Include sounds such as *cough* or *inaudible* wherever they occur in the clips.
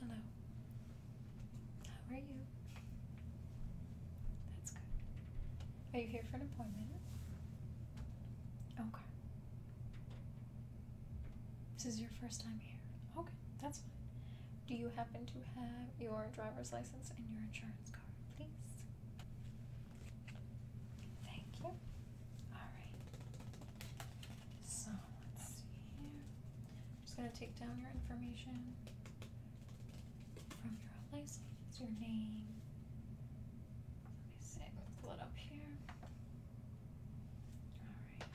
Hello. How are you? That's good. Are you here for an appointment? Okay. This is your first time here. Okay, that's fine. Do you happen to have your driver's license and your insurance card, please? Thank you. All right. So let's see here. I'm just gonna take down your information from your license, your name. Let me see, pull it up here. Alright.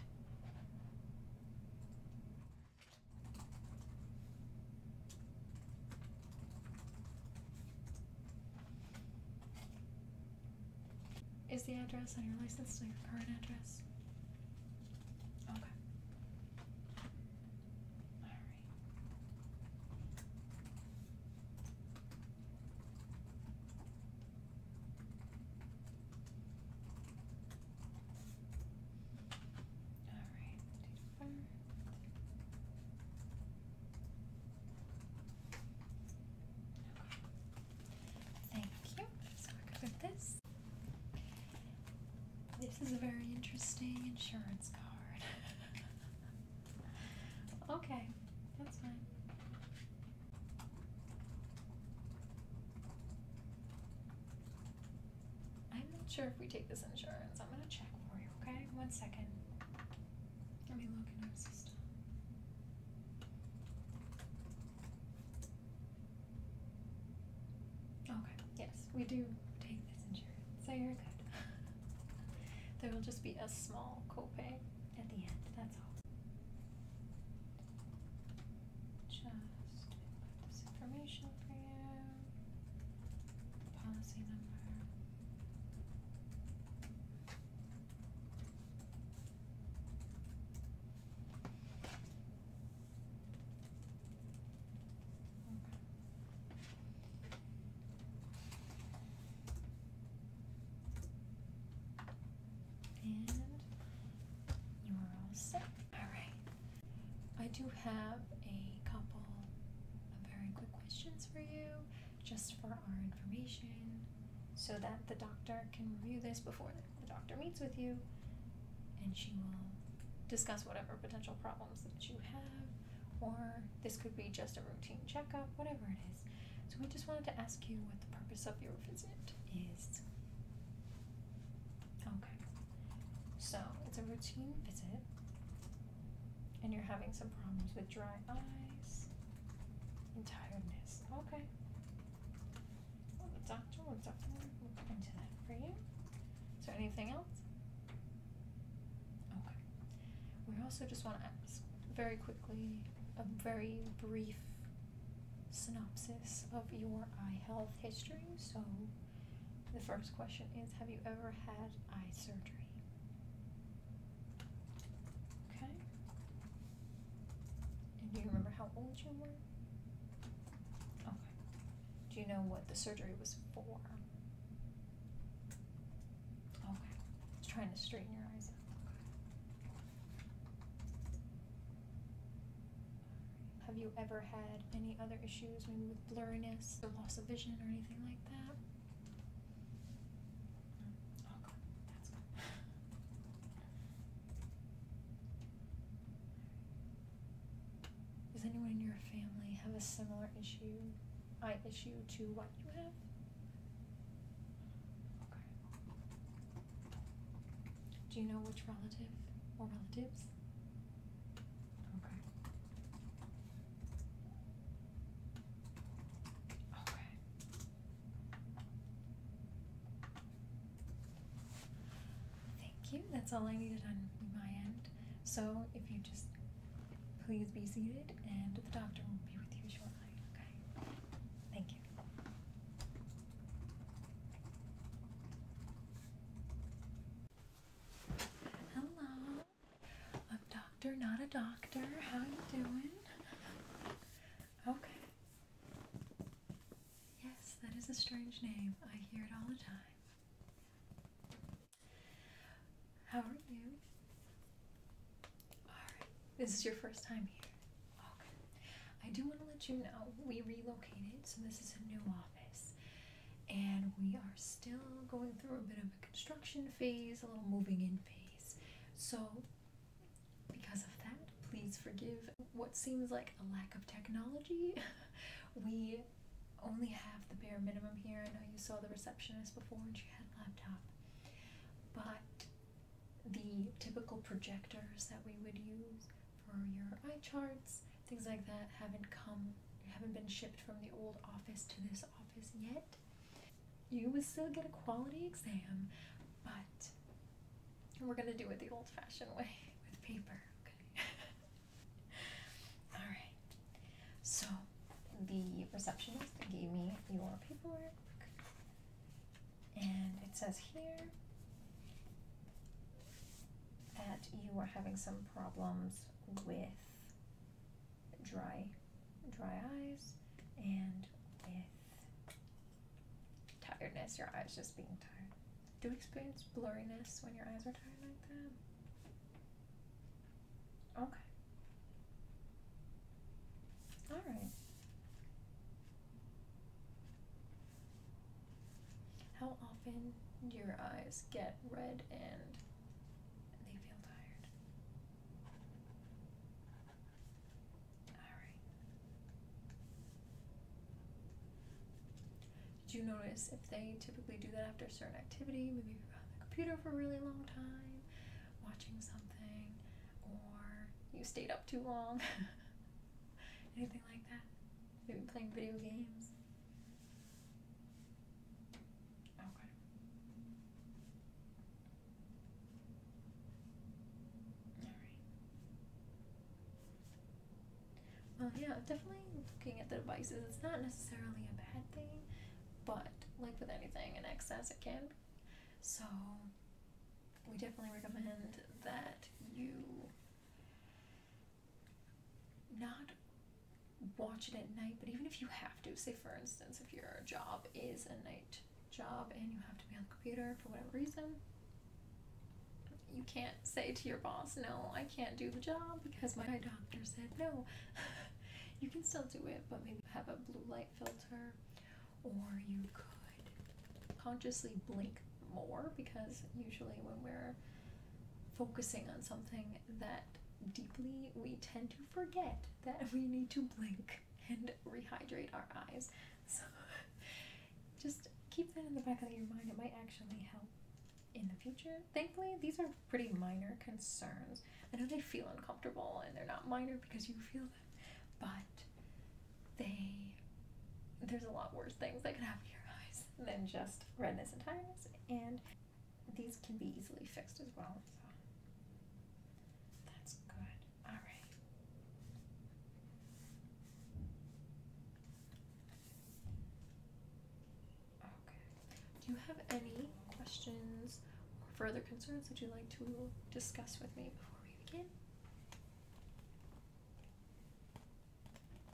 Is the address on your license still your current address? Okay. Alright. All right, Thank you. So we're good this. This is a very interesting insurance card. *laughs* okay, that's fine. I'm not sure if we take this insurance. I'm gonna check for you, okay? One second. Let me look in our system. Okay, yes, we do take this insurance, so you're good. there will just be a small copay at the end, that's all. Just this information for you. The policy number. Okay. And you Alright. I do have a couple of very quick questions for you, just for our information, so that the doctor can review this before the doctor meets with you and she will discuss whatever potential problems that you have or this could be just a routine checkup, whatever it is. So, we just wanted to ask you what the purpose of your visit is. Okay, so it's a routine visit, and you're having some problems with dry eyes and tiredness. Okay. Well, the doctor will definitely look into that for you. Is there anything else? Okay. We also just want to ask very quickly a very brief synopsis of your eye health history. So, the first question is Have you ever had eye surgery? Okay. And do you remember how old you were? Okay. Do you know what the surgery was for? Okay. trying to straighten your eyes out. Have you ever had any other issues, maybe with blurriness or loss of vision or anything like that? Oh, good. That's good. Does anyone in your family have a similar issue? I issue to what you have? Okay. Do you know which relative or relatives? Okay. Okay. Thank you. That's all I needed on my end. So if you just please be seated and the doctor will be with you shortly, okay? Thank you. Hello. I'm doctor, not a doctor. How you doing? Okay. Yes, that is a strange name. I hear it all the time. How are you? Alright, this is your first time here. Okay. Oh, I do want to let you know we relocated, so this is a new office. And we are still going through a bit of a construction phase, a little moving in phase. So, because of that, please forgive what seems like a lack of technology. *laughs* we only have the bare minimum here. I know you saw the receptionist before and she had a laptop, but the typical projectors that we would use for your eye charts, things like that, haven't come, haven't been shipped from the old office to this office yet. You will still get a quality exam, but we're gonna do it the old fashioned way *laughs* with paper, okay? *laughs* Alright, so the receptionist gave me your paperwork. And it says here that you are having some problems with dry dry eyes and with tiredness, your eyes just being tired. Do you experience blurriness when your eyes are tired like that? Okay. All right. How often do your eyes get red and they feel tired? Alright. Did you notice if they typically do that after a certain activity? Maybe you're on the computer for a really long time? watching something or you stayed up too long. *laughs* Anything like that? Maybe playing video games? Okay. Alright. Well, yeah, definitely looking at the devices, it's not necessarily a bad thing but like with anything in excess it can So we definitely recommend that you not watch it at night, but even if you have to, say for instance, if your job is a night job and you have to be on the computer for whatever reason, you can't say to your boss, no, I can't do the job because my doctor said no. *laughs* you can still do it, but maybe have a blue light filter, or you could consciously blink more because usually when we're focusing on something that deeply, we tend to forget that we need to blink and rehydrate our eyes. So *laughs* just keep that in the back of your mind. It might actually help in the future. Thankfully, these are pretty minor concerns. I know they feel uncomfortable and they're not minor because you feel them, but they there's a lot worse things that can happen to your eyes than just redness and tiredness, and these can be easily fixed as well. that's good. All right. Do you have any questions or further concerns that you'd like to discuss with me before we begin?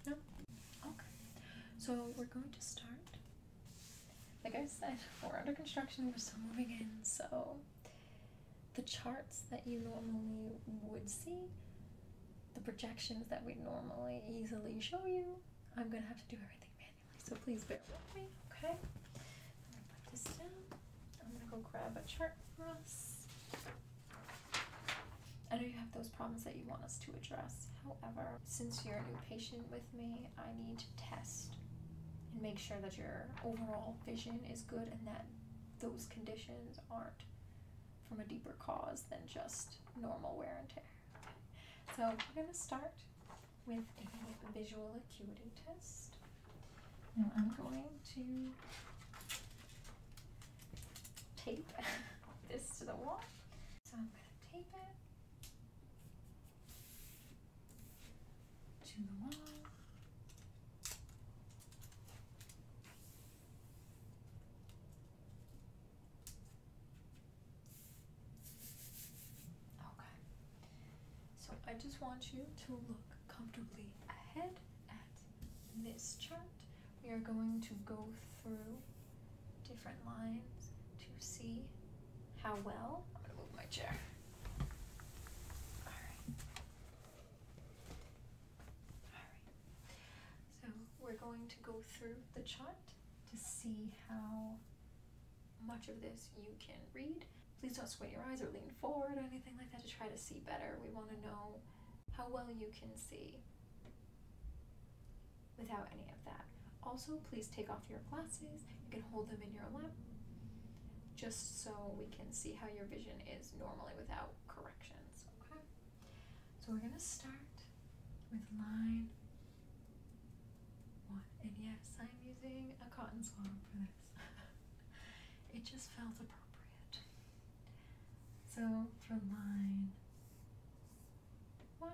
No? Okay. So we're going to start. Like I said, *laughs* we're under construction, we're still moving in, so the charts that you normally would see, the projections that we normally easily show you, I'm gonna have to do everything manually so please bear with me, okay? I'm gonna put this down. I'm gonna go grab a chart for us. I know you have those problems that you want us to address. However, since you're a new patient with me, I need to test and make sure that your overall vision is good and that those conditions aren't from a deeper cause than just normal wear and tear. So we're gonna start with a visual acuity test. Now I'm going to tape *laughs* this to the wall. So I'm going to tape it to the wall. Okay. So I just want you to look comfortably ahead at this chart. We are going to go through different lines to see how well. I'm going to move my chair. Alright. Alright. So we're going to go through the chart to see how much of this you can read. Please don't squint your eyes or lean forward or anything like that to try to see better. We want to know how well you can see without any of that. Also, please take off your glasses. You can hold them in your lap just so we can see how your vision is normally without corrections. Okay? So we're going to start with line one. And yes, I'm using a cotton swab for this. *laughs* it just felt appropriate. So for line one,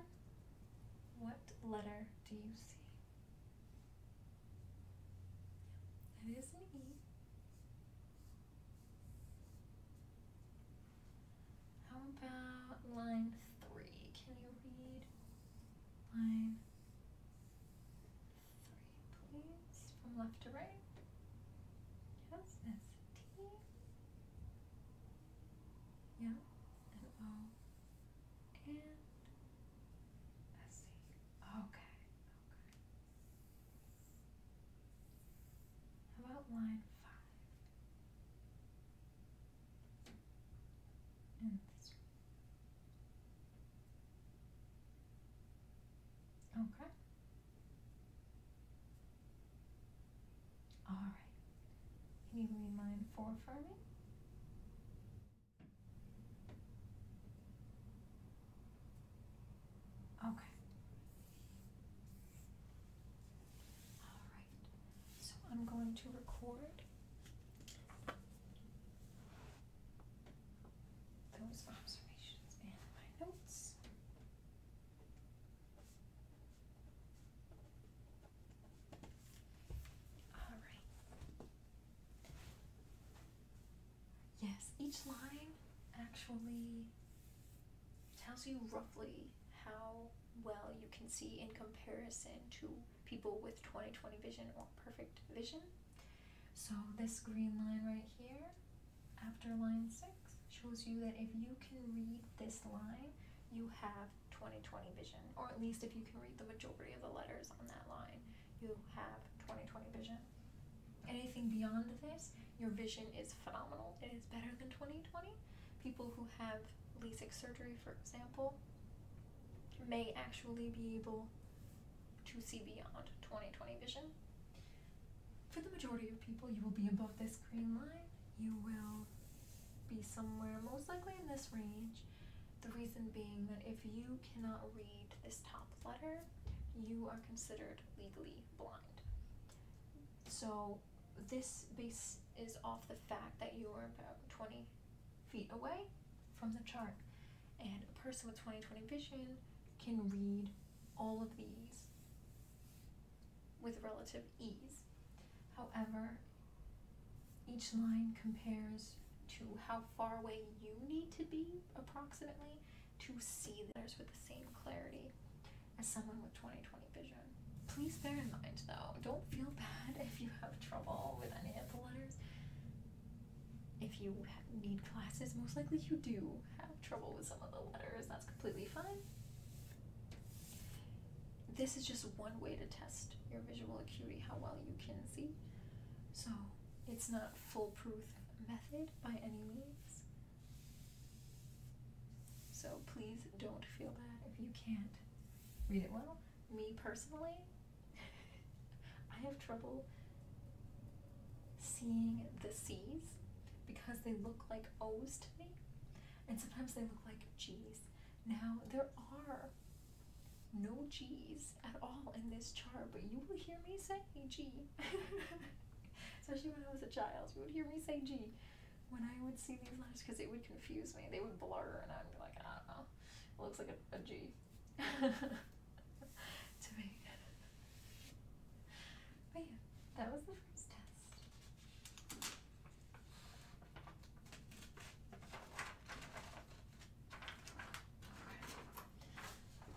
what letter do you see? It is an E. How about line three? Can you read line Three, please, from left to right. Yes, S, T. and O, and S, C. Okay, okay. How about line five? and Okay. All right. Can you read line four for me? Okay. All right. So I'm going to record those observations and my notes. All right. Yes, each line actually tells you roughly how well you can see in comparison to people with 20/20 vision or perfect vision. So this green line right here after line 6 shows you that if you can read this line, you have 20/20 vision or at least if you can read the majority of the letters on that line, you have 20/20 vision. Anything beyond this, your vision is phenomenal. It is better than 20/20. People who have LASIK surgery, for example, may actually be able to see beyond 2020 vision. For the majority of people, you will be above this green line. You will be somewhere most likely in this range. The reason being that if you cannot read this top letter, you are considered legally blind. So this base is off the fact that you are about 20 feet away from the chart. And a person with 20/20 vision can read all of these with relative ease. However, each line compares to how far away you need to be approximately to see the letters with the same clarity as someone with 20/20 vision. Please bear in mind though, don't feel *laughs* bad if you have trouble with any of the letters if you need glasses, most likely you do have trouble with some of the letters. That's completely fine. This is just one way to test your visual acuity, how well you can see. So it's not foolproof method by any means. So please don't feel bad if you can't read it well. Me personally, *laughs* I have trouble seeing the C's because they look like O's to me, and sometimes they look like G's. Now, there are no G's at all in this chart, but you will hear me say G. *laughs* Especially when I was a child, We would hear me say G when I would see these letters because it would confuse me. They would blur, and I'd be like, I don't know. It looks like a G. *laughs* to make But yeah, that was the first test.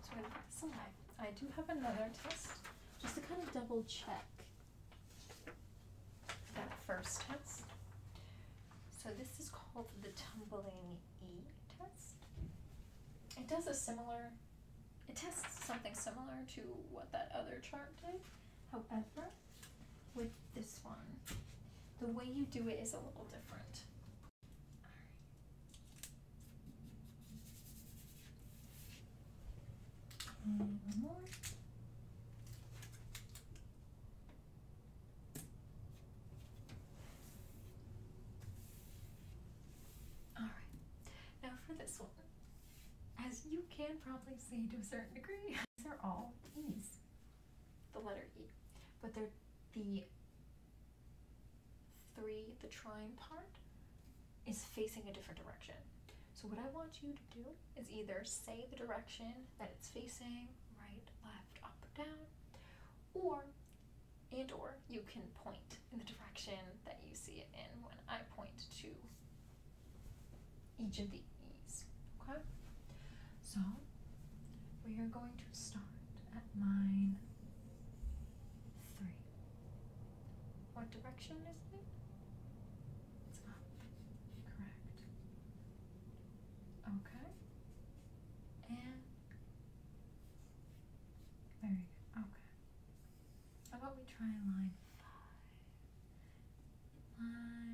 So I some I do have another test just to kind of double check that first test. So this is called the tumbling PPE test. It does a similar, it tests something similar to what that other chart did. However, with this one, the way you do it is a little different. Mm, one more. Alright, now for this one. As you can probably see to a certain degree, *laughs* these are all E's. The letter E. But they're the three, the trine part, is facing a different direction. So what I want you to do is either say the direction that it's facing, right, left, up, down, or and or you can point in the direction that you see it in when I point to each of the E's. Okay? So we are going to start at line three. What direction is it? It's up. Correct. Okay. And there we go. Okay. How about we try line five? Line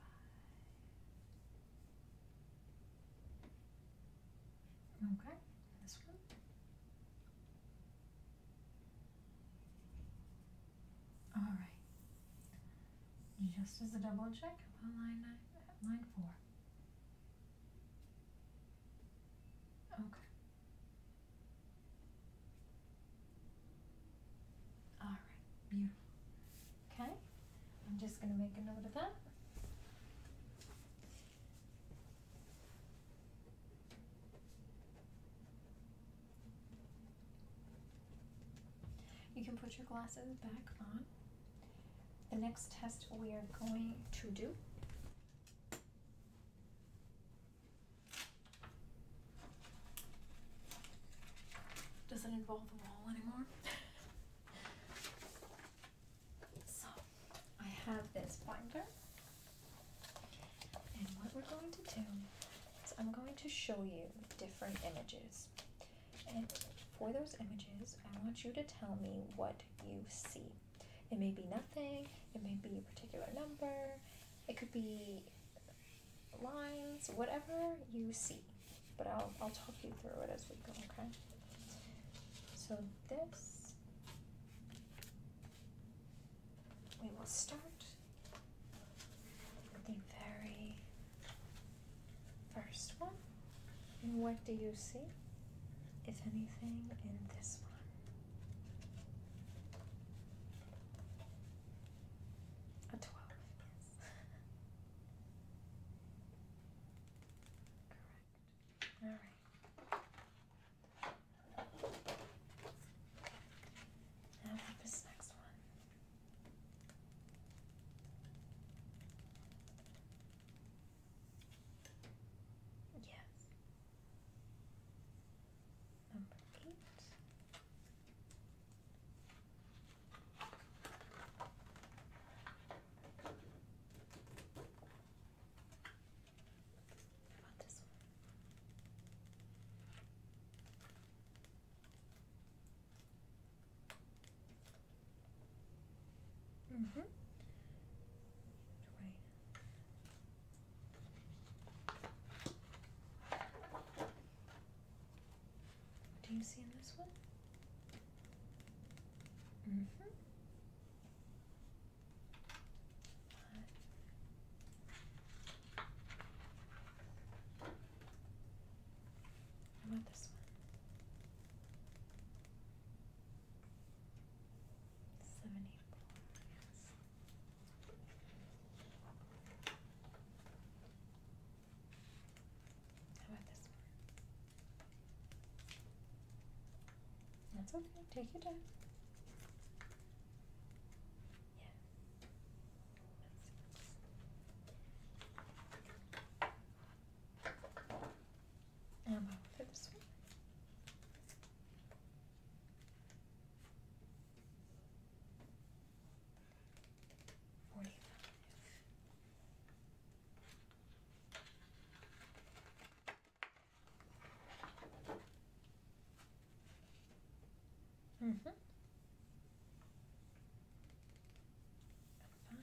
five. Okay. This one. All right. Just as a double check line nine, line four. Okay. All right, beautiful. Okay, I'm just going to make a note of that. You can put your glasses back on. The next test we are going to do doesn't involve the wall anymore. *laughs* so, I have this binder. And what we're going to do is I'm going to show you different images. And for those images, I want you to tell me what you see. It may be nothing, it may be a particular number, it could be lines, whatever you see. But I'll, I'll talk you through it as we go, okay? So this, we will start the very first one. And what do you see, if anything, in this one? A 12, *laughs* Correct. All right. Now, with this next one. Yes. Number eight. about this one? Mm-hmm. What do you see in this one? Mm-hmm. One. How about this one? Seventy four, yes. How about this one? That's okay, take your time. Yeah. Am I lips? Forty-five. Mm-hmm five.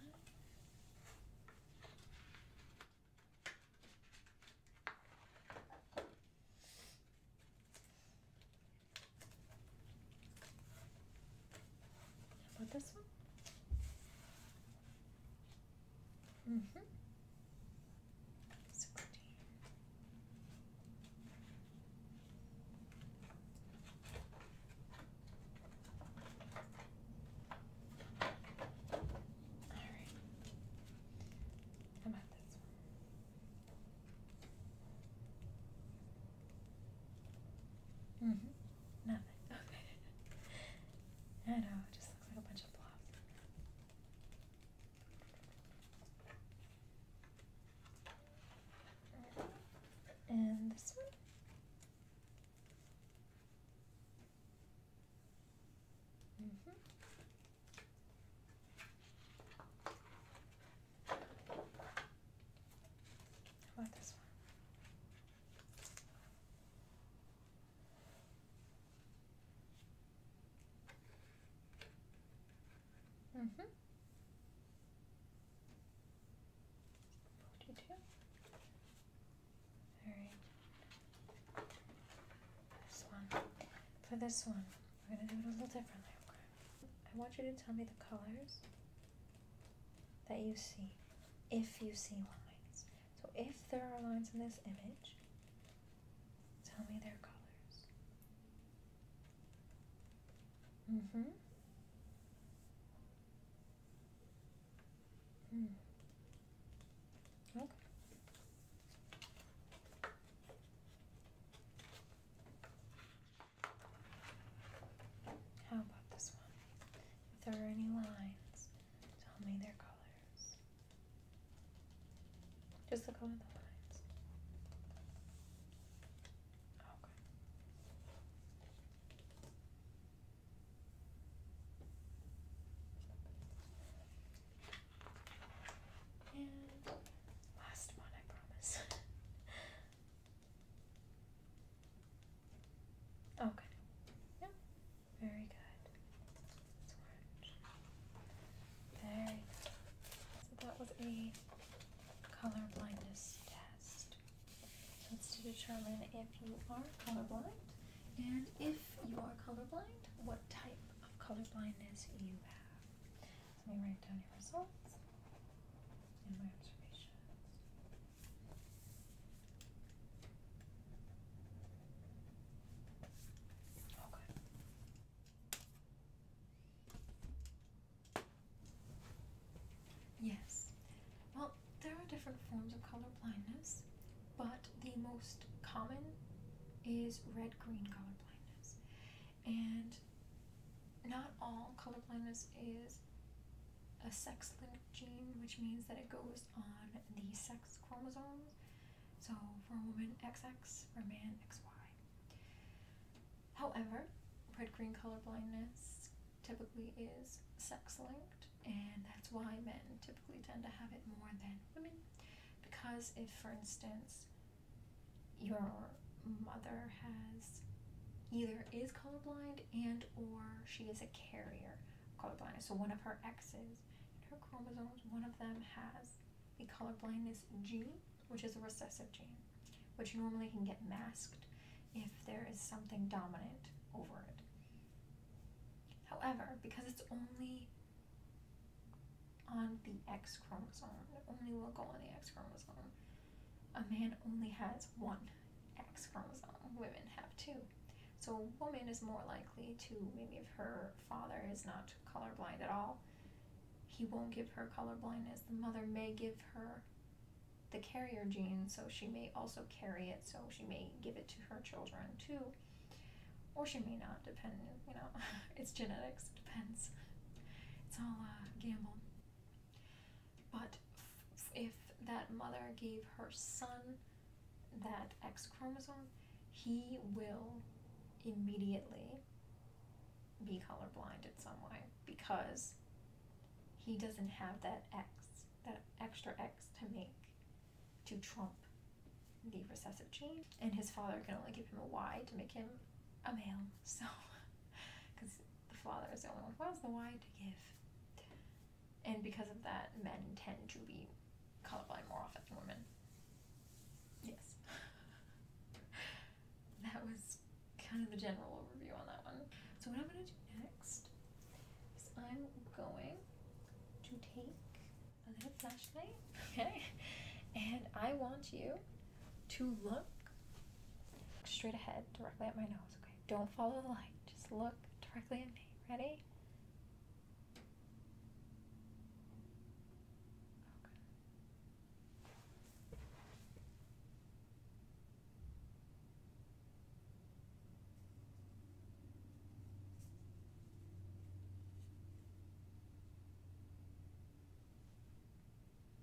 about this one? Mm hmm. 16. Alright. How Mm hmm. Nothing. *laughs* Okay. I know, just looks like a bunch of blobs. And this one? Mm -hmm. How one? Mm-hmm. Alright. This one. For this one, we're gonna do it a little differently, I want you to tell me the colors that you see, if you see lines. So if there are lines in this image, tell me their colors. Mm-hmm. Hmm. Okay. How about this one? If there are any lines, tell me their colors. Just the color of the lines. Okay. And last one, I promise. *laughs* okay. Yep. Very good. Very good. So that was a color blindness test. So it's to determine if you are colorblind, and if you are colorblind, what type of colorblindness you have. let me write down your results and my observations. Okay. Yes. Well, there are different forms of color blindness, but the most common is red green color blindness. And not all color blindness is a sex linked gene, which means that it goes on the sex chromosomes. So for a woman, XX, for a man, XY. However, red green color blindness typically is sex linked, and that's why men typically tend to have it more than women. Because if, for instance, your mother has either is colorblind and or she is a carrier colorblind. So one of her X's in her chromosomes, one of them has the colorblindness gene, which is a recessive gene, which normally can get masked if there is something dominant over it. However, because it's only on the X chromosome, only will go on the X chromosome, a man only has one X chromosome, women have two. So a woman is more likely to, maybe if her father is not colorblind at all, he won't give her colorblindness. The mother may give her the carrier gene, so she may also carry it, so she may give it to her children too. Or she may not, depend, you know, *laughs* it's genetics, it depends. It's all a gamble. But if that mother gave her son that X chromosome, he will immediately be colorblind in some way because he doesn't have that X that extra X to make to trump the recessive gene, and his father can only give him a Y to make him a male. *laughs* So, because the father is the only one who has the Y to give, and because of that, men tend to be colorblind more often than women. Yes, *laughs* that was kind of the general overview on that one. So what I'm gonna do next I'm going to take a little flashlight, *laughs* okay? And I want you to look straight ahead, directly at my nose, okay? Don't follow the light, just look directly at me. Ready? Okay.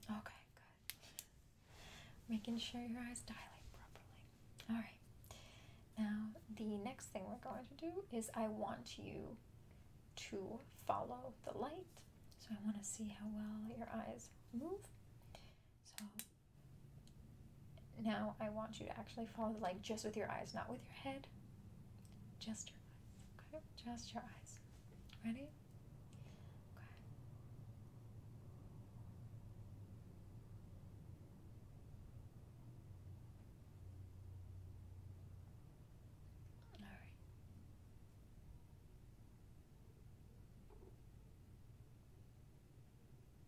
Okay, good. Making sure your eyes dilate properly. All right. Now, the next thing we're going to do is I want you to follow the light. So I want to see how well your eyes move. So now I want you to actually follow the light just with your eyes, not with your head. Just your eyes. Okay? Just your eyes. Ready? Okay. All right.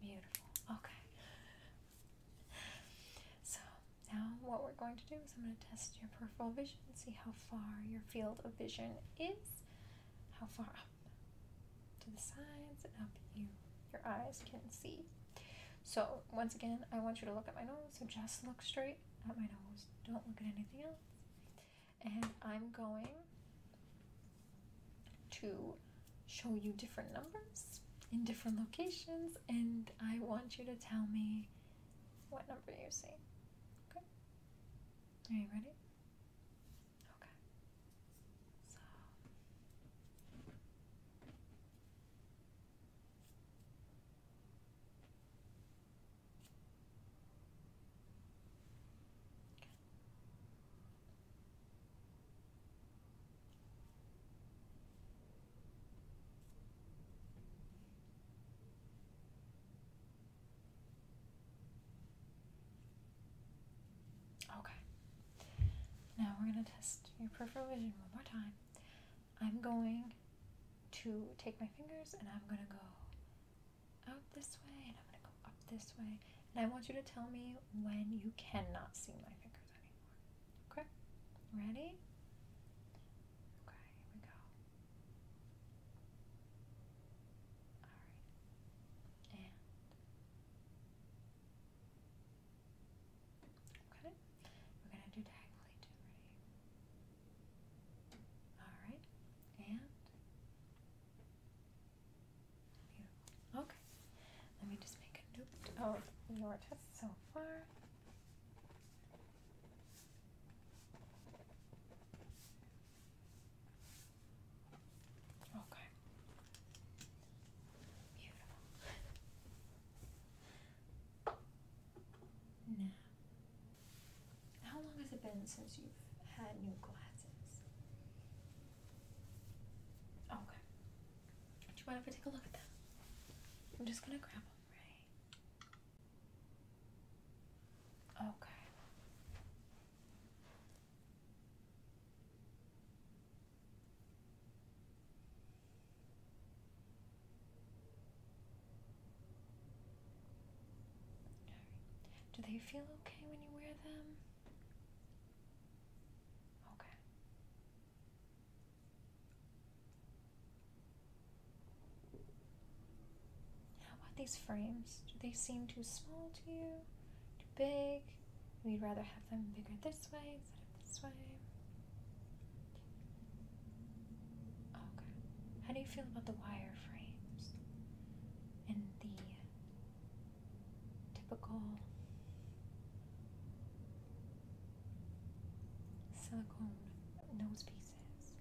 Beautiful. Okay. So now what we're going to do is I'm going to test your peripheral vision, see how far your field of vision is, how far up to the sides and up you your eyes can see. So once again, I want you to look at my nose. So just look straight at my nose. Don't look at anything else. And I'm going to show you different numbers in different locations, and I want you to tell me what number you see. Okay? Are you ready? Okay. So. Okay. Now we're going to test your peripheral vision one more time. I'm going to take my fingers and I'm gonna go out this way and I'm gonna go up this way. And I want you to tell me when you cannot see my fingers anymore. Okay? Ready? Okay, here we go. Alright. And. Okay. We're gonna do diagonally too. Ready? All right, and Okay, let me just make a note of your test so far. Okay. Beautiful. Now, how long has it been since you've had new glasses? Okay. Do you mind if I take a look at them? I'm just gonna grab them, right? Okay. Do they feel okay when you wear them? Okay. How about these frames? Do they seem too small to you? Too big? We'd rather have them bigger this way instead of this way. Okay. How do you feel about the wire frames and the typical silicone nose pieces?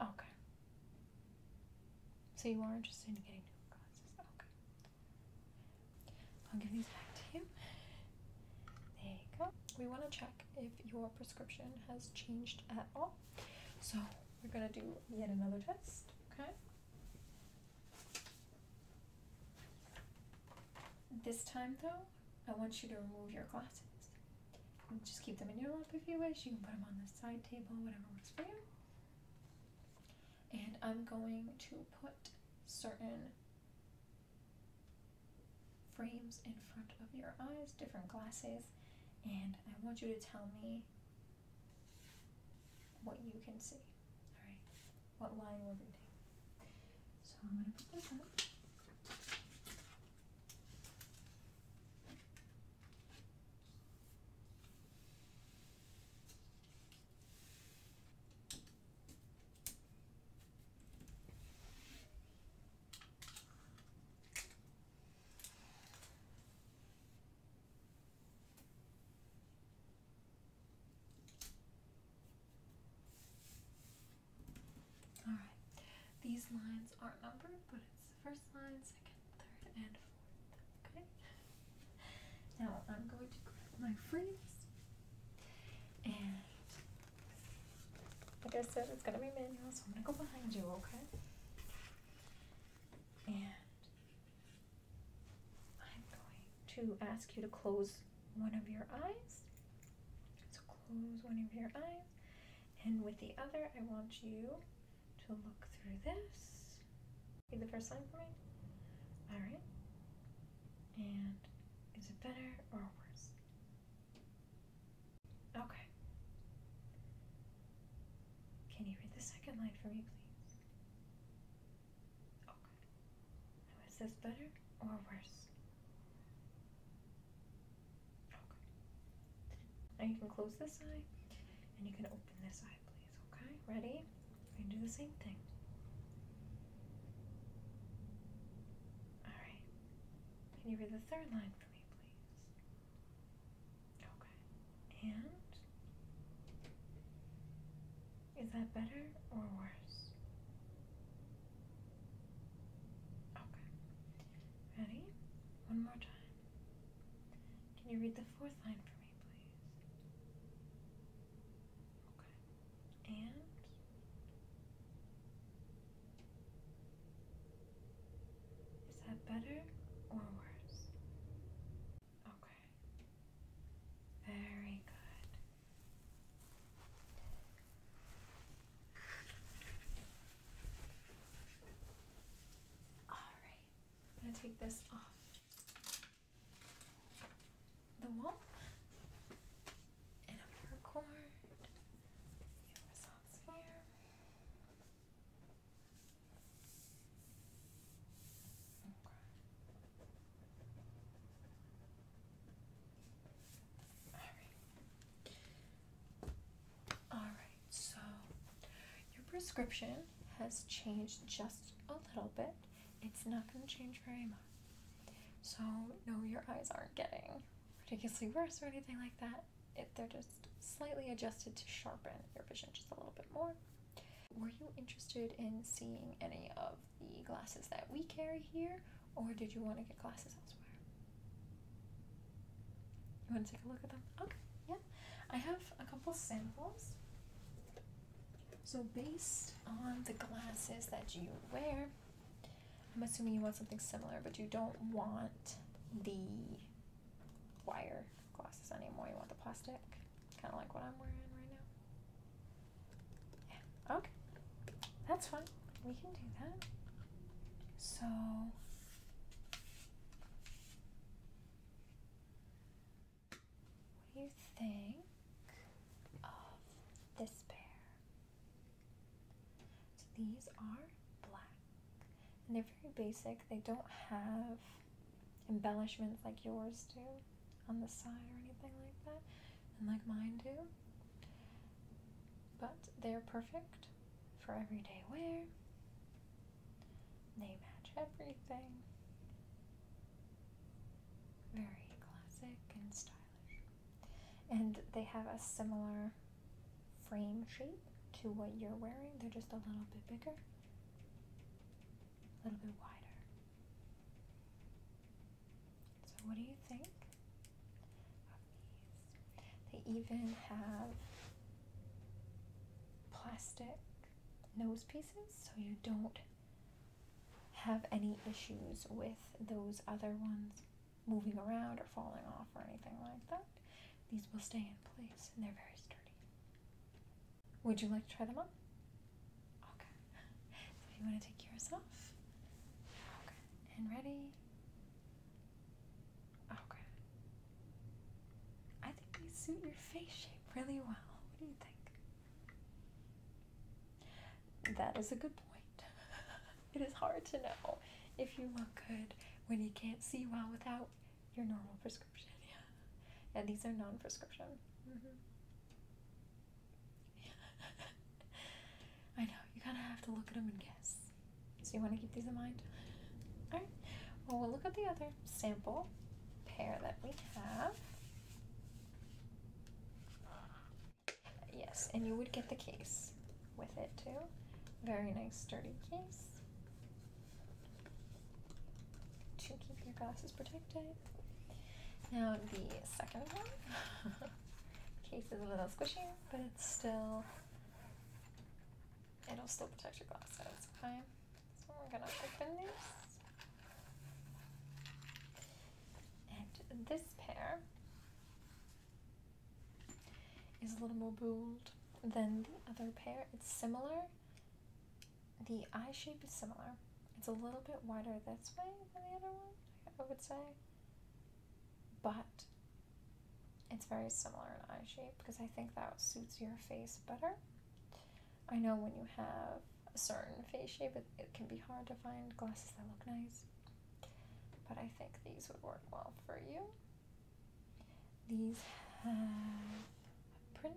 Okay. So you are interested in getting new glasses. Okay. I'll give these back to you. There you go. We want to check if your prescription has changed at all. So we're going to do yet another test, okay? This time though, I want you to remove your glasses. Just keep them in your lap if you wish. You can put them on the side table, whatever works for you. And I'm going to put certain frames in front of your eyes, different glasses, and I want you to tell me what you can see. Alright, what line we're reading. So I'm going to put this up. All right. These lines aren't numbered, but it's the first line, second, third, and fourth. Okay. Now I'm going to grab my freeze and like I said, it's gonna be manual, so I'm gonna go behind you, okay? And I'm going to ask you to close one of your eyes. So close one of your eyes. And with the other, I want you to look through this. Be the first sign for me? Alright. And is it better or worse? Okay. Can you read the second line for me, please? Okay. is this better or worse? Okay. Now you can close this eye and you can open this eye, please. Okay, ready? You are do the same thing. Alright. Can you read the third line for me, please? Okay. And? Is that better or worse? Okay. Ready? One more time. Can you read the fourth line for me, please? Okay and is that better or worse? Okay. Very good. All right. I'm going to take this off the wall, and I'm gonna record. Okay. Alright. Alright, so your prescription has changed just a little bit. It's not going to change very much. So, no, your eyes aren't getting ridiculously worse or anything like that. If they're just slightly adjusted to sharpen your vision just a little bit more. Were you interested in seeing any of the glasses that we carry here, or did you want to get glasses elsewhere? You want to take a look at them? Okay, yeah. I have a couple samples. So, based on the glasses that you wear, I'm assuming you want something similar, but you don't want the wire glasses anymore. You want the plastic, kind of like what I'm wearing right now. okay. That's fine. We can do that. So. What do you think of this pair? these are black. And they're very basic. They don't have embellishments like yours do on the side or anything like that, and like mine do. But they're perfect for everyday wear. They match everything. Very classic and stylish. And they have a similar frame shape to what you're wearing, they're just a little bit bigger, a little bit wider. So, what do you think They even have plastic nose pieces so you don't have any issues with those other ones moving around or falling off or anything like that. These will stay in place and they're very sturdy. Would you like to try them on? Okay. So you want to take yours off? Okay. And ready? Okay. I think they suit your face shape really well. What do you think? That is a good point. *laughs* It is hard to know if you look good when you can't see well without your normal prescription. *laughs* Yeah. And these are non prescription. mm mm-hmm. *laughs* I know, you kind of have to look at them and guess. So you want to keep these in mind? Alright. Well, we'll look at the other sample pair that we have. Yes, and you would get the case with it too. Very nice, sturdy case to keep your glasses protected. Now, the second one *laughs* case is a little squishy, but it's still. It'll still protect your glasses, okay? So we're gonna open this. And this pair is a little more bold than the other pair. It's similar. The eye shape is similar. It's a little bit wider this way than the other one, I would say. But it's very similar in eye shape because I think that suits your face better. I know when you have a certain face shape, it, can be hard to find glasses that look nice but I think these would work well for you. These have a print.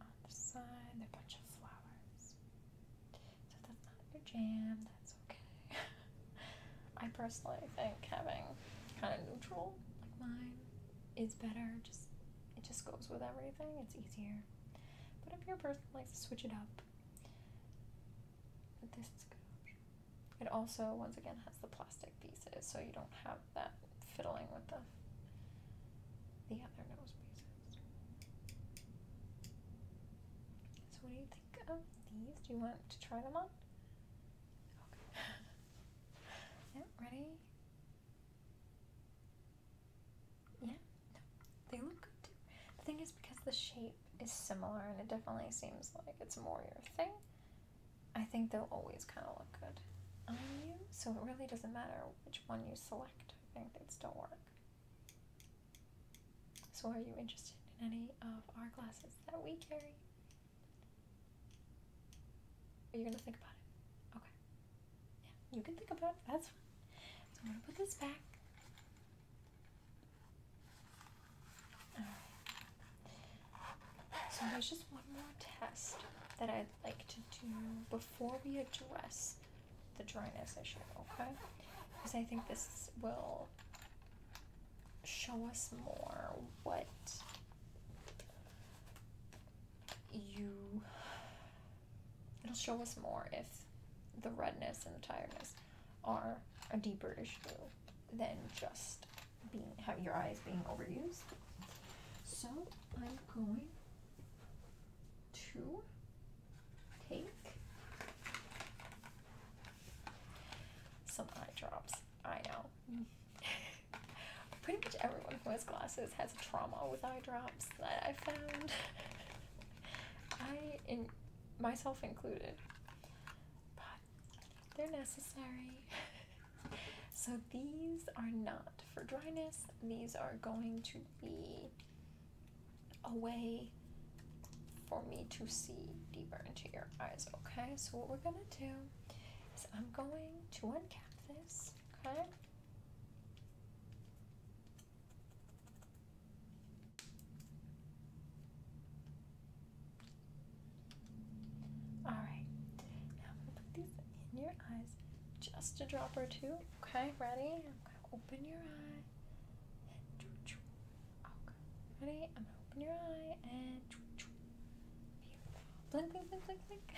On the side, they're a bunch of flowers. So if that's not your jam, that's okay. *laughs* I personally think having kind of neutral like mine is better. Just it just goes with everything. It's easier. But if your person likes to switch it up, this is good It also, once again, has the plastic pieces, so you don't have that fiddling with the the other nose pieces. So, what do you think of these? Do you want to try them on? *laughs* yeah, ready? Yeah, they look good too. The thing is, because the shape is similar and it definitely seems like it's more your thing, I think they'll always kind of look good on you. So it really doesn't matter which one you select, I think they'd still work. So, are you interested in any of our glasses that we carry? Are you gonna think about it? Okay. Yeah, you can think about That's fine. So I'm going to put this back. So there's just one more test that I'd like to do before we address the dryness issue, okay? Because I think this will show us more what you It'll show us more if the redness and the tiredness are a deeperish blue than just being your eyes being overused. So I'm going to take some eye drops. I know. *laughs* Pretty much everyone who has glasses has trauma with eye drops that I found. *laughs* I in myself included. But they're necessary. *laughs* so these are not for dryness. These are going to be a way for me to see deeper into your eyes, okay? So what we're gonna do is I'm going to uncap this, okay? All right, now I'm gonna put these in your eyes, just a drop or two. Okay, ready? I'm gonna open your eye Okay, ready? I'm gonna open your eye and Blink, blink, blink, blink, blink. *laughs*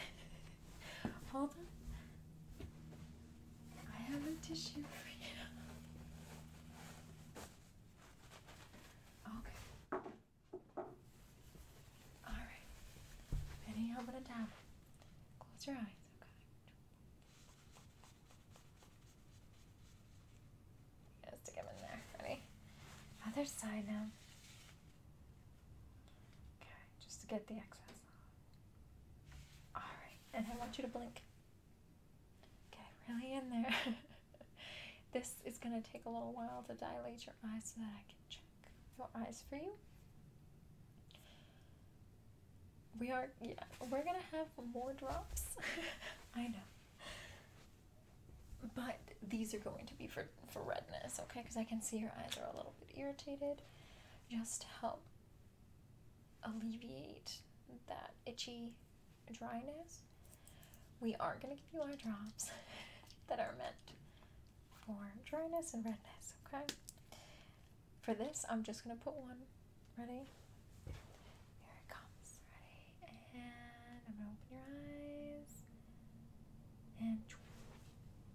Hold on. I have a tissue for you. Okay. Alright. Penny, I'm gonna tap. Close your eyes, okay? Just to get in there, ready? Other side now. Okay, just to get the excess. All right, and I want you to blink. Okay, really in there. *laughs* this is going to take a little while to dilate your eyes so that I can check your eyes for you. We are, yeah, we're going to have more drops. *laughs* I know. But these are going to be for, for redness, okay? Because I can see your eyes are a little bit irritated. Just help alleviate that itchy dryness, we are going to give you eye drops *laughs* that are meant for dryness and redness, okay? For this, I'm just going to put one. Ready? Here it comes. Ready? And I'm going to open your eyes. And Ready?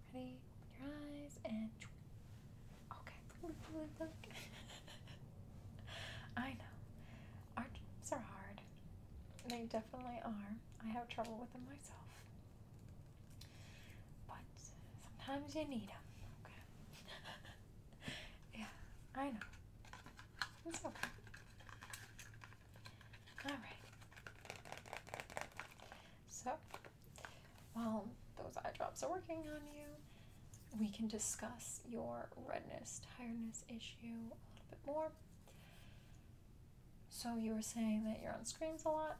Open your eyes and. Okay. Look, look, look. *laughs* I know. Our are hard. They definitely are. I have trouble with them myself. But sometimes you need them. Okay. *laughs* yeah, I know. It's okay. Alright. So, while those eye drops are working on you, we can discuss your redness, tiredness issue a little bit more. So, you were saying that you're on screens a lot.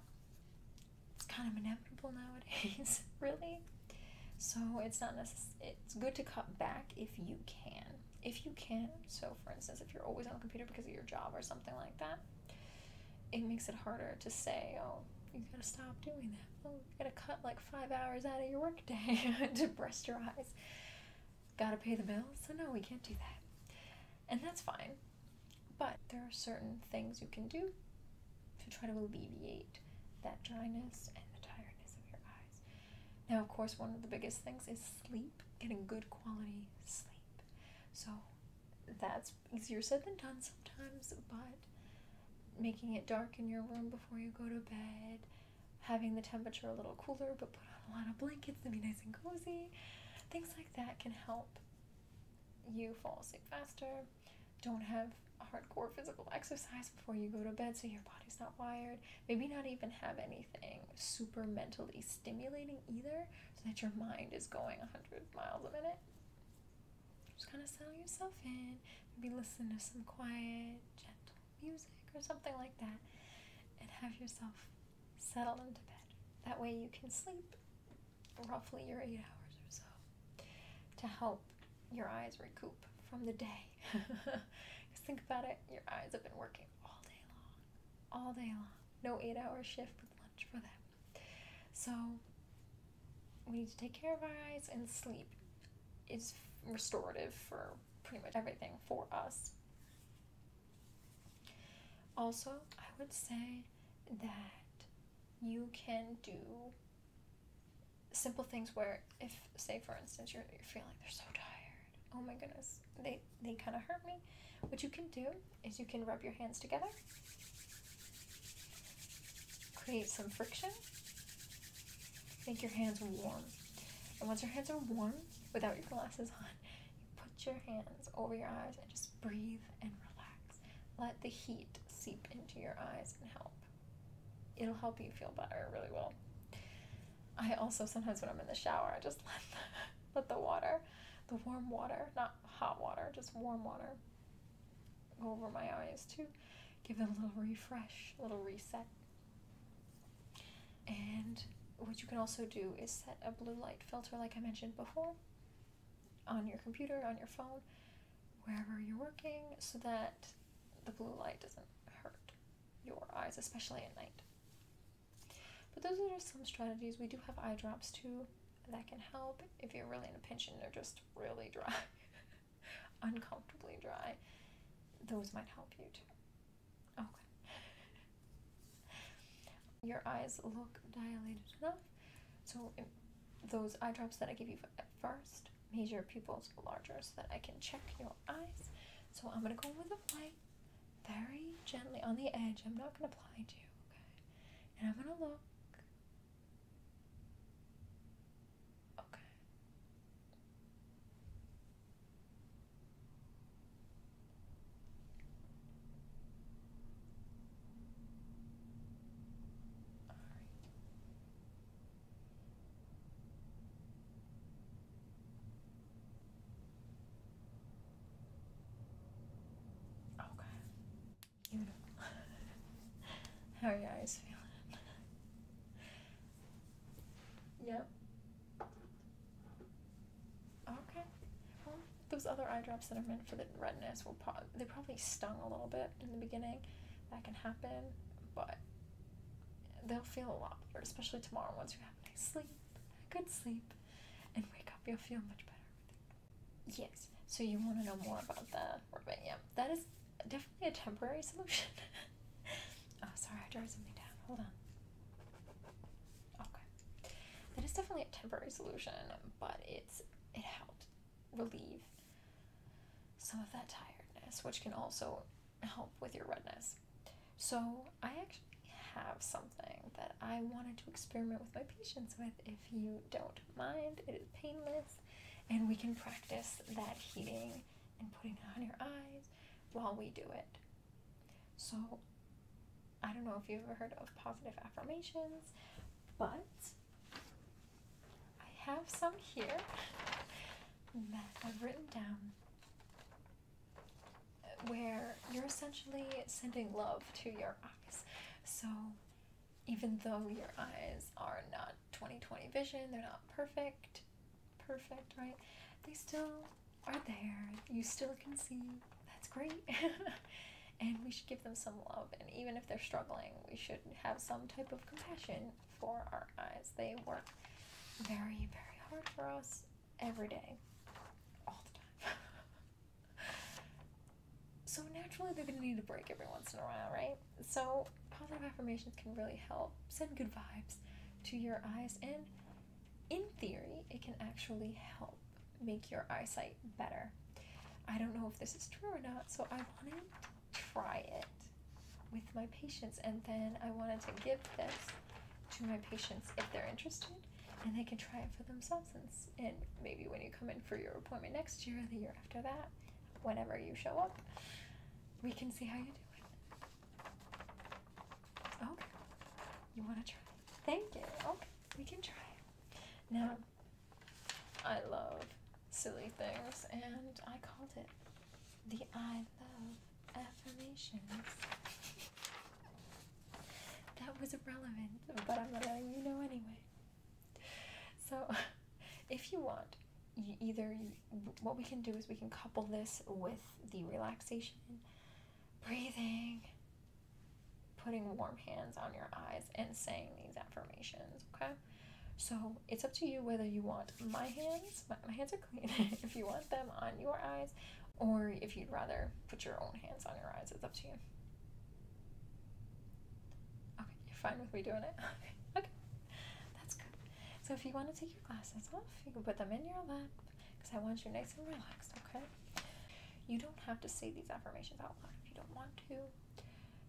It's kind of inevitable nowadays, *laughs* really. So, it's not necessary, it's good to cut back if you can. If you can, so for instance, if you're always on the computer because of your job or something like that, it makes it harder to say, oh, you gotta stop doing that. Oh, you gotta cut like five hours out of your workday *laughs* to rest your eyes. Gotta pay the bills. So, no, we can't do that. And that's fine. But there are certain things you can do to try to alleviate that dryness and the tiredness of your eyes. Now, of course, one of the biggest things is sleep, getting good quality sleep. So, that's easier said than done sometimes, but making it dark in your room before you go to bed, having the temperature a little cooler but put on a lot of blankets to be nice and cozy, things like that can help you fall asleep faster. Don't have hardcore physical exercise before you go to bed so your body's not wired. Maybe not even have anything super mentally stimulating either so that your mind is going a 100 miles a minute. Just kind of settle yourself in. Maybe listen to some quiet, gentle music or something like that and have yourself settle into bed. That way you can sleep roughly your eight hours or so to help your eyes recoup from the day. Just *laughs* think about it, your eyes have been working all day long, all day long. No eight hour shift with lunch for them. So we need to take care of our eyes and sleep is restorative for pretty much everything for us. Also, I would say that you can do simple things where if say for instance you're, you're feeling they're so tired oh my goodness they they kind of hurt me what you can do is you can rub your hands together Create some friction. Make your hands warm. And once your hands are warm, without your glasses on, you put your hands over your eyes and just breathe and relax. Let the heat seep into your eyes and help. It'll help you feel better, really will. I also sometimes when I'm in the shower, I just *laughs* let the, let the water, the warm water, not hot water, just warm water, over my eyes too. Give it a little refresh, a little reset. And what you can also do is set a blue light filter, like I mentioned before, on your computer, on your phone, wherever you're working, so that the blue light doesn't hurt your eyes, especially at night. But those are just some strategies. We do have eye drops too that can help if you're really in a pinch and they're just really dry, *laughs* uncomfortably dry. Those might help you too. Okay. Your eyes look dilated enough. So, those eye drops that I gave you at first made your pupils larger so that I can check your eyes. So, I'm going to go with a light very gently on the edge. I'm not going to apply to you, okay? And I'm going to look Okay. All right. Okay. Beautiful. *laughs* How are your eyes feeling? yep. Okay. Well, those other eye drops that are meant for the redness will pro- they probably stung a little bit in the beginning. That can happen, but they'll feel a lot better, especially tomorrow once you have a nice sleep, a good sleep, and wake up. You'll feel much better. Yes. So you want to know more about the ribbon? Yeah, that is definitely a temporary solution. *laughs* oh, sorry, I drew something down. Hold on. Okay, that is definitely a temporary solution, but it's it helped relieve some of that tiredness, which can also help with your redness. So I actually have something that I wanted to experiment with my patients with if you don't mind. It is painless and we can practice that heating and putting it on your eyes while we do it. So, I don't know if you've ever heard of positive affirmations, but I have some here that I've written down where you're essentially sending love to your eyes. So, even though your eyes are not 2020 vision, they're not perfect, perfect, right? They still are there. You still can see. That's great. *laughs* and we should give them some love. And even if they're struggling, we should have some type of compassion for our eyes. They work very, very hard for us every day, all the time. *laughs* so naturally they're going to need a break every once in a while, right? So positive affirmations can really help send good vibes to your eyes, and in theory, it can actually help make your eyesight better. I don't know if this is true or not, so I wanted to try it with my patients, and then I wanted to give this to my patients if they're interested, and they can try it for themselves. And, and maybe when you come in for your appointment next year, or the year after that, whenever you show up, we can see how you do it. Okay. You want to try? Thank you. Okay, we can try. Now, I love silly things, and I called it the I Love Affirmations. That was irrelevant, but I'm letting you know anyway. So, *laughs* if you want, either what we can do is we can couple this with the relaxation, breathing, putting warm hands on your eyes, and saying these affirmations, okay? So, it's up to you whether you want my hands, my, my hands are clean, *laughs* if you want them on your eyes, or if you'd rather put your own hands on your eyes, it's up to you. Okay, you're fine with me doing it? *laughs* okay. That's good. So if you want to take your glasses off, you can put them in your lap because I want you nice and relaxed, okay? You don't have to say these affirmations out loud if you don't want to.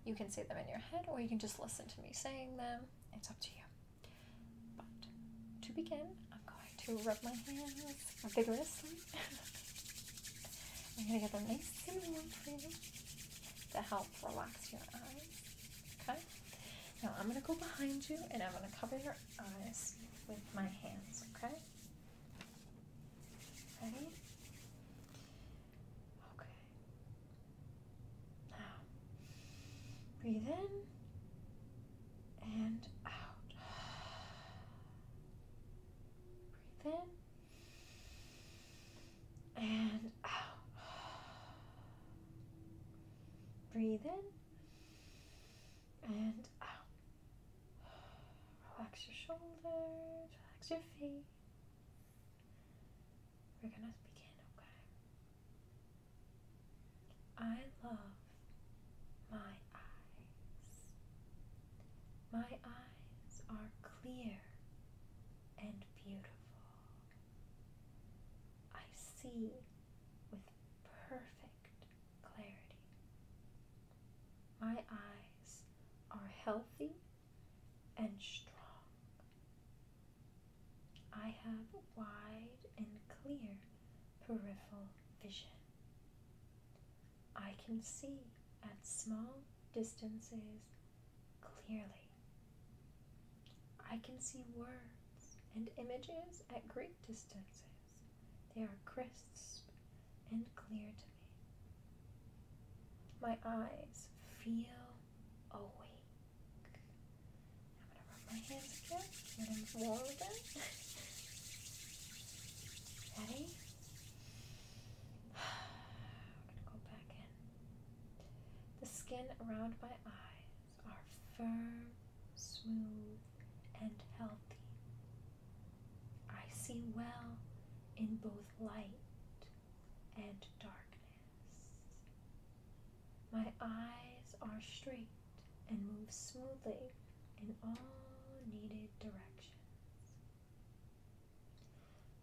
You can say them in your head or you can just listen to me saying them. It's up to you. But to begin, I'm going to rub my hands vigorously. *laughs* I'm going to get them nice and warm for you to help relax your eyes. Okay? Now I'm going to go behind you and I'm going to cover your eyes with my hands. Okay? Ready? Okay. Now, breathe in and out. *sighs* Breathe in and out. Oh. Breathe in and out. Oh. Relax your shoulders, relax your feet. We're gonna begin, okay? I love my eyes. My eyes are clear and beautiful. I see with perfect clarity. My eyes are healthy and strong. I have wide and clear peripheral vision. I can see at small distances clearly. I can see words and images at great distances. They are crisp and clear to me. My eyes feel awake. I'm going to rub my hands again, let them warm again. *laughs* Ready? *sighs* I'm going to go back in. The skin around my eyes are firm, smooth, and healthy. I see well in both light and darkness. My eyes are straight and move smoothly in all needed directions.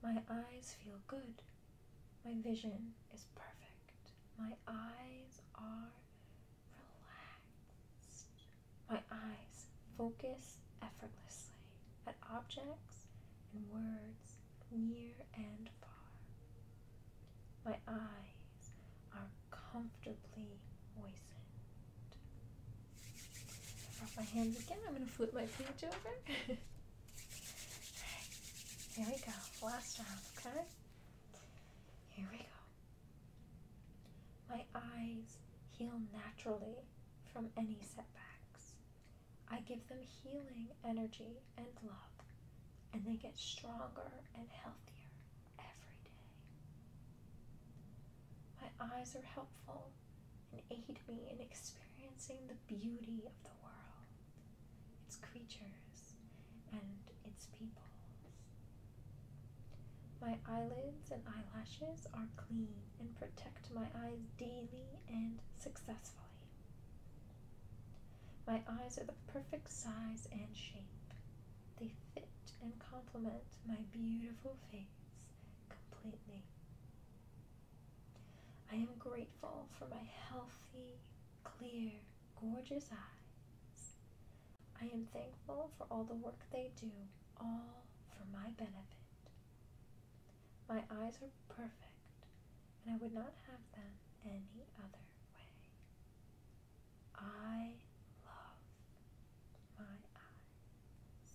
My eyes feel good my vision is perfect. My eyes are relaxed. My eyes focus effortlessly at objects and words near and far. My eyes are comfortably moistened. I my hands again. I'm going to flip my page over. *laughs* here we go. Last time, okay? Here we go. My eyes heal naturally from any setbacks. I give them healing energy and love, and they get stronger and healthier every day. My eyes are helpful and aid me in experiencing the beauty of the world, its creatures, and its people. My eyelids and eyelashes are clean and protect my eyes daily and successfully. My eyes are the perfect size and shape. They fit and complement my beautiful face completely. I am grateful for my healthy, clear, gorgeous eyes. I am thankful for all the work they do, all for my benefit. My eyes are perfect, and I would not have them any other way. I love my eyes.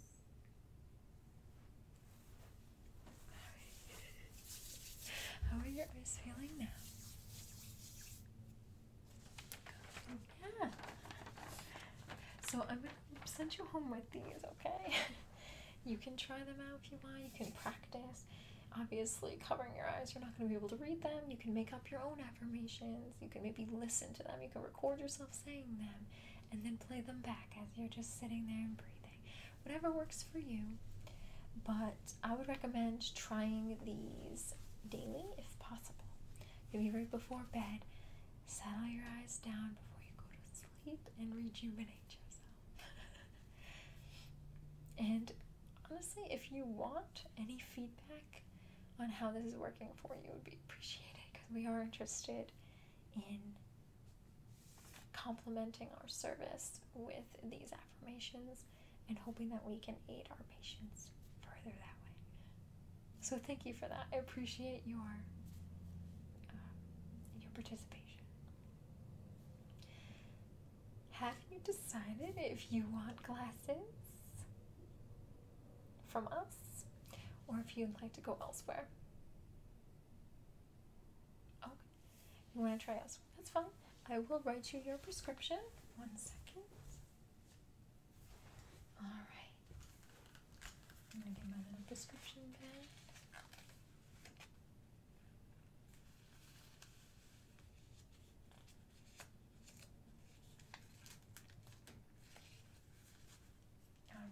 How are your eyes feeling now? Yeah. So I'm gonna send you home with these, okay? *laughs* you can try them out if you want. You can practice. Obviously, covering your eyes, you're not gonna be able to read them. You can make up your own affirmations. You can maybe listen to them. You can record yourself saying them, and then play them back as you're just sitting there and breathing whatever works for you. But I would recommend trying these daily if possible. Maybe right before bed, settle your eyes down before you go to sleep and rejuvenate yourself. *laughs* and honestly, if you want any feedback on how this is working for you, would be appreciated because we are interested in complementing our service with these affirmations and hoping that we can aid our patients further that way. So thank you for that. I appreciate your uh, your participation. Have you decided if you want glasses from us or if you'd like to go elsewhere? Okay. You want to try us? That's fine. I will write you your prescription. One second. All right. I'm gonna get my little prescription pen. All right.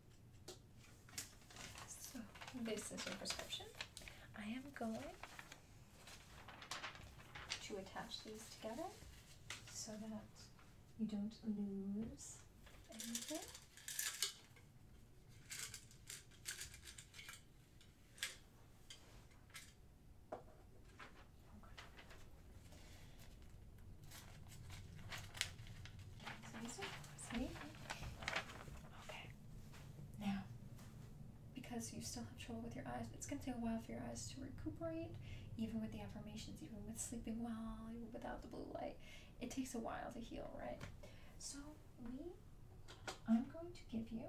So this is your prescription. I am going to attach these together so that you don't lose anything. Okay. Now, because you still have trouble with your eyes, it's going to take a while for your eyes to recuperate, even with the affirmations, even with sleeping well, without the blue light. It takes a while to heal, right? So, we, I'm going to give you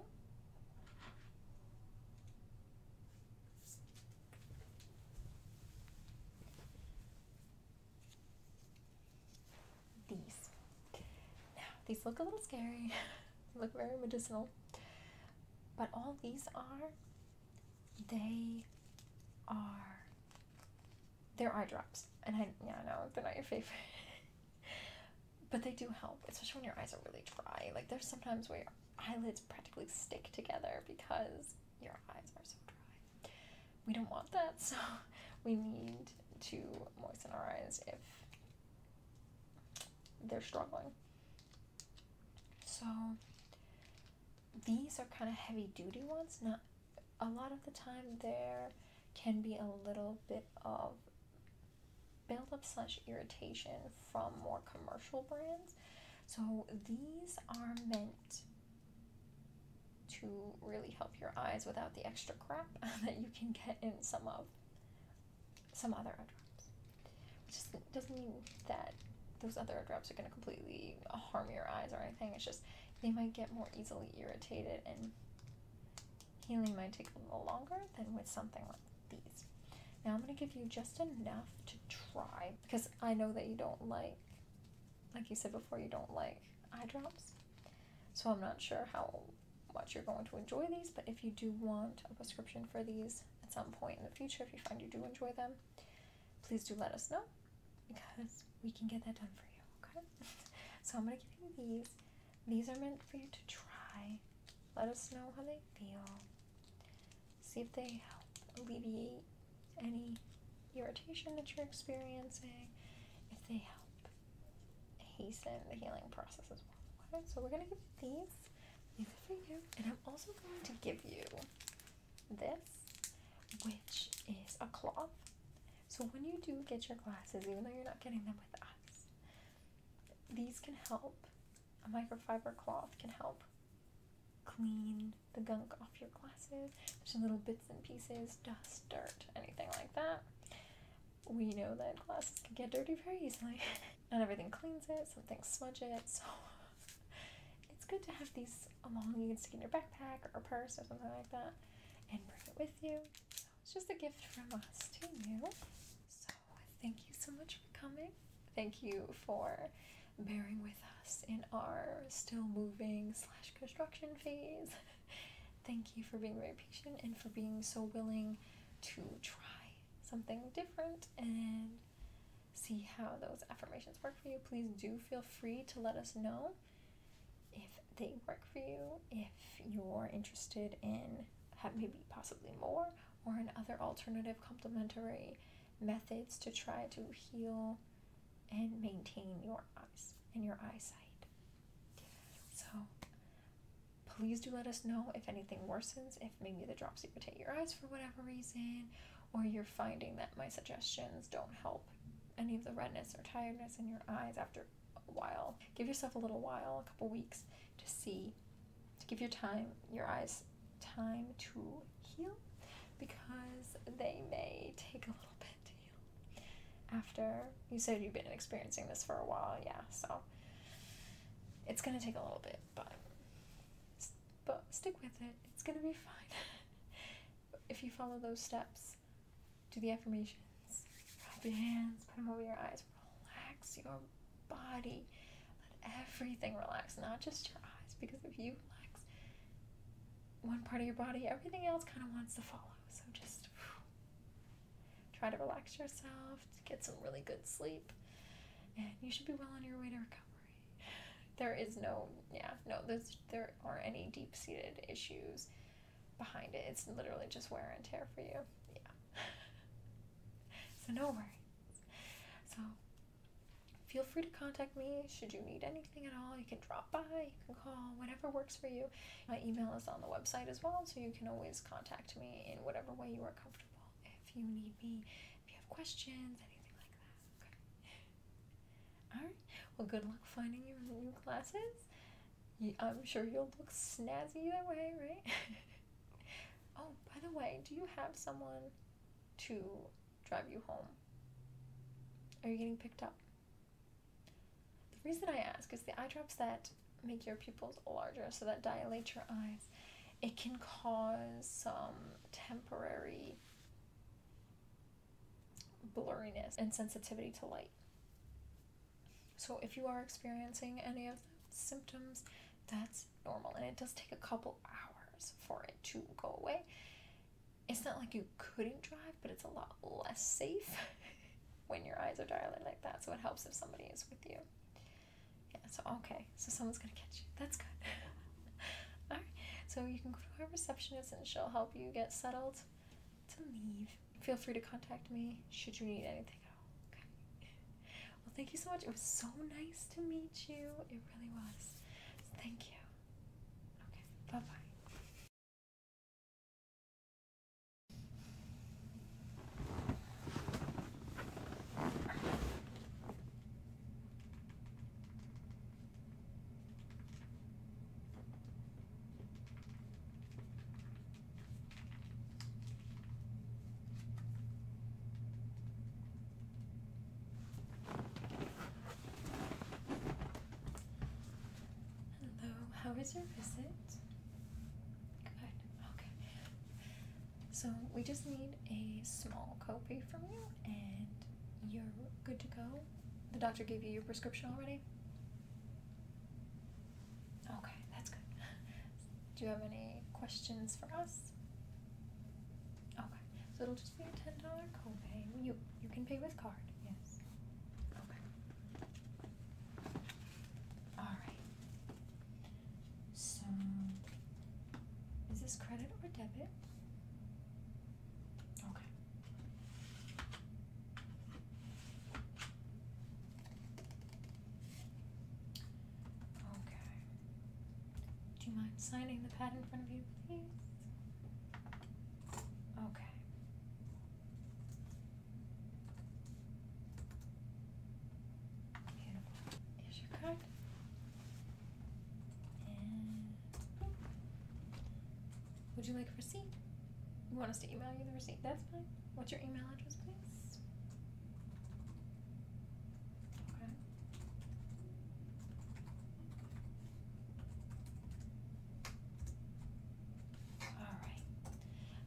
these. Now, these look a little scary, They *laughs* look very medicinal, but all these are, they are, they're eye drops. And I, yeah, I know they're not your favorite, *laughs* but they do help, especially when your eyes are really dry. Like, there's sometimes where your eyelids practically stick together because your eyes are so dry we don't want that, so *laughs* we need to moisten our eyes if they're struggling. So these are kind of heavy duty ones. Not a lot of the time there can be a little bit of buildup slash irritation from more commercial brands. So these are meant to really help your eyes without the extra crap *laughs* that you can get in some of some other eye drops. Which doesn't mean that those other eye drops are going to completely harm your eyes or anything. It's just they might get more easily irritated and healing might take a little longer than with something like these. Now I'm going to give you just enough to try because I know that you don't like, like you said before, you don't like eye drops. So I'm not sure how much you're going to enjoy these, but if you do want a prescription for these at some point in the future, if you find you do enjoy them, please do let us know because we can get that done for you, okay? *laughs* so I'm gonna give you these. These are meant for you to try. Let us know how they feel. See if they help alleviate any irritation that you're experiencing, if they help hasten the healing process as well. So we're gonna give you these. These are for you. And I'm also going to give you this, which is a cloth. So when you do get your glasses, even though you're not getting them with us, these can help. A microfiber cloth can help clean the gunk off your glasses. There's little bits and pieces, dust, dirt, anything like that we know that glasses can get dirty very easily. *laughs* Not everything cleans it, Something smudges it, so *laughs* it's good to have these along. You can stick in your backpack or purse or something like that and bring it with you. So it's just a gift from us to you. So thank you so much for coming. Thank you for bearing with us in our still moving slash construction phase. *laughs* Thank you for being very patient and for being so willing to try something different and see how those affirmations work for you. Please do feel free to let us know if they work for you, if you're interested in maybe possibly more or in other alternative complementary methods to try to heal and maintain your eyes and your eyesight. So please do let us know if anything worsens, if maybe the drops irritate your eyes for whatever reason, or you're finding that my suggestions don't help any of the redness or tiredness in your eyes after a while. Give yourself a little while, a couple weeks, to see, to give your time, your eyes time to heal because they may take a little bit after you said you've been experiencing this for a while, yeah, so it's gonna take a little bit, but but stick with it. It's gonna be fine. *laughs* if you follow those steps, do the affirmations, rub your hands, put them over your eyes, relax your body, let everything relax, not just your eyes, because if you relax one part of your body, everything else kind of wants to follow. So just Try to relax yourself, get some really good sleep, and you should be well on your way to recovery. *laughs* There is no, yeah, no, there's, there are any deep seated issues behind it. It's literally just wear and tear for you. Yeah. *laughs* so, no worries. So, feel free to contact me should you need anything at all. You can drop by, you can call, whatever works for you. My email is on the website as well, so you can always contact me in whatever way you are comfortable if you need me, if you have questions, anything like that. Okay. *laughs* Alright, well, good luck finding your new glasses. I'm sure you'll look snazzy that way, right? *laughs* oh, by the way, do you have someone to drive you home? Are you getting picked up? The reason I ask is the eye drops that make your pupils larger, so that dilate your eyes, it can cause some temporary blurriness and sensitivity to light. So, if you are experiencing any of the symptoms, that's normal, and it does take a couple hours for it to go away. It's not like you couldn't drive, but it's a lot less safe *laughs* when your eyes are dilated like that. So it helps if somebody is with you. Yeah, so okay. So someone's gonna catch you. That's good. *laughs* Alright. So you can go to our receptionist and she'll help you get settled to leave. Feel free to contact me should you need anything at all. Okay. Well thank you so much. It was so nice to meet you. It really was. thank you. Okay. Bye bye. Hello, how was your visit? Good. Okay. So we just need a small copay from you, and you're good to go. The doctor gave you your prescription already. Okay, that's good. *laughs* Do you have any questions for us? Okay, so it'll just be a ten dollar copay. You you can pay with card. Yes. Okay. All right. So, is this credit or debit? Okay. Okay. Do you mind signing the pad in front of you, please? Okay. Here's your card. Would you like a receipt? You want us to email you the receipt? That's fine. What's your email address, please? Okay. All right.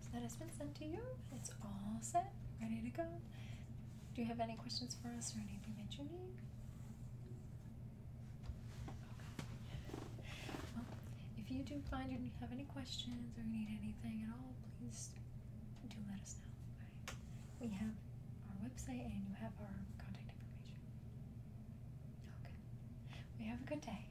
So that has been sent to you. It's all set, ready to go. Do you have any questions for us or anything that you need? Okay. Well, if you do find you have any questions or need anything at all, please do let us know. We have our website and you have our contact information. Okay. We have a good day.